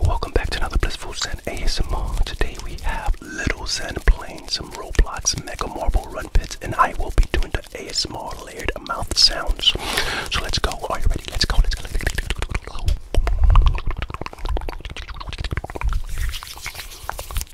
Welcome back to another Blissful ASMR. Today we have Little Zen playing some Roblox Mega Marble Run Pits, and I will be doing the ASMR layered mouth sounds. So let's go. Are you ready? Let's go. Let's go.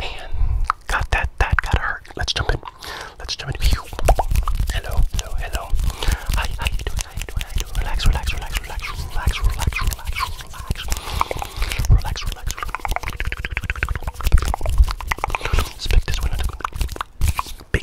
Man, got that, that gotta hurt. Let's jump in. Let's jump in. Hello, hello, hello. Hi, how you doing? How you doing? How you doing? Relax, relax, relax, relax, relax, relax, relax, relax. Relax, relax. Let's pick this one up. Bing.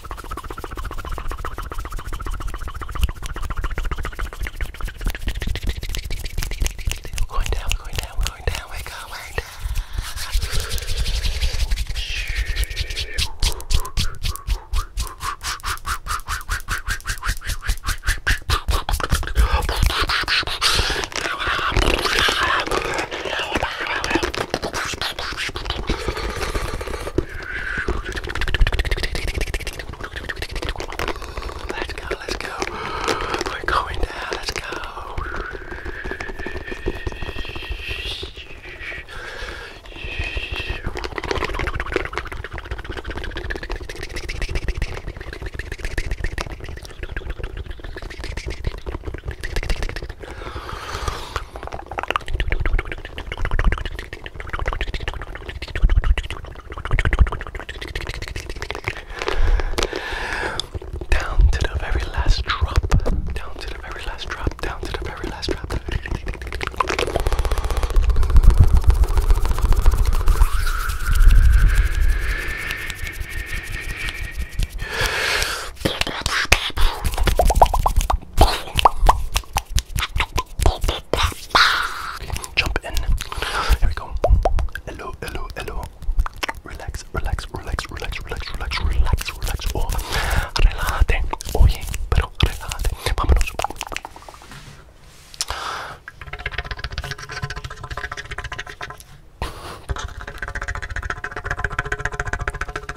We're going down, we're going down, we're going down, we're going down. Let's go, let's go. We're going down, let's go. Down to the very last drop. Down to the very last drop. Down to the very last drop. Jump in. Here we go. Hello, hello, hello. Relax, relax, relax, relax, relax, relax, relax, relax. Oh, relájate. Oye, pero relájate. Vámonos.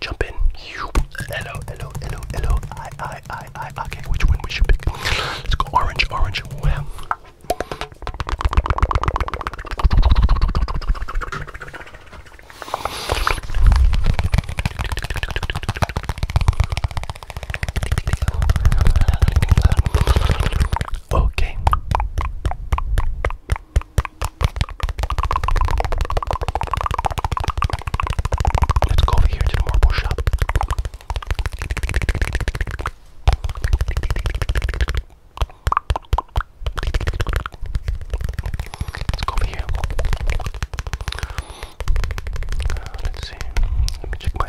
Jump in. Hello, hello, hello, hello. I, I, I, I. Okay, which one we should pick? Let's go orange, orange. Wow. Okay. Let's go over here to the marble shop. Let's go over here. Uh, let's see. Let me check my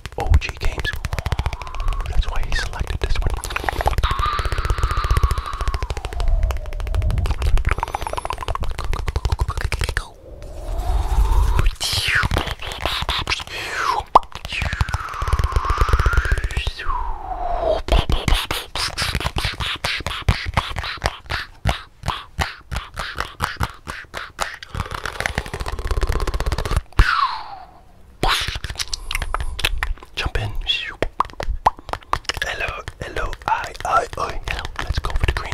OG games. Ooh, that's why he selected this one. Jump in. Hello, hello, I, I, I. Hello. Let's go for the green.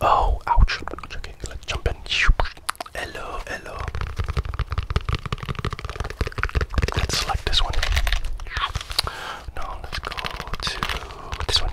Oh, ouch. Okay, let's jump in. Hello, hello. Let's select this one. Now let's go to this one.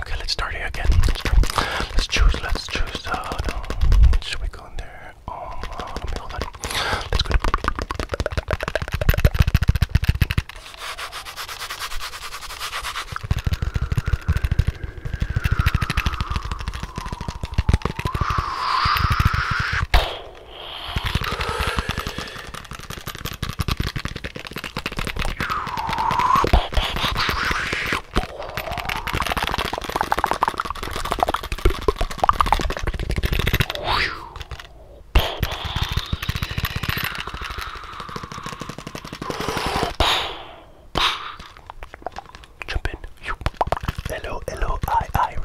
Okay, let's start here again. Let's, start. let's choose. Let's choose. Uh, no, should we go in there? Um, uh, let me hold on. Let's go. Jump in. Hello, hello, I, I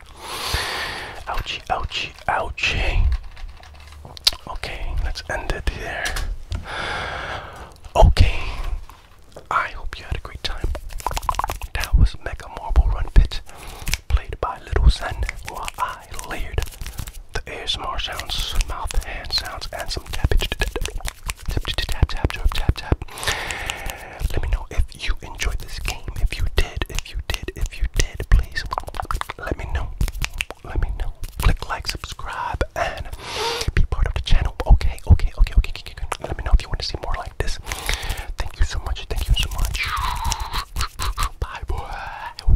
ouch. Ouchie, ouchie, ouchie. Okay, let's end it there. Okay, I hope you had a great time. That was Mega Marble Run Pit, played by Little Sun, while I layered the ASMR sounds, mouth, hand sounds, and some tappage. tap, tap, tap, tap, tap. Let me know if you enjoyed this game. If you did, if you did, if you did, please let me know. Let me know. Click like, subscribe, and be part of the channel. Okay, okay, okay, okay, Let me know if you want to see more like this. Thank you so much. Thank you so much. Bye, boy.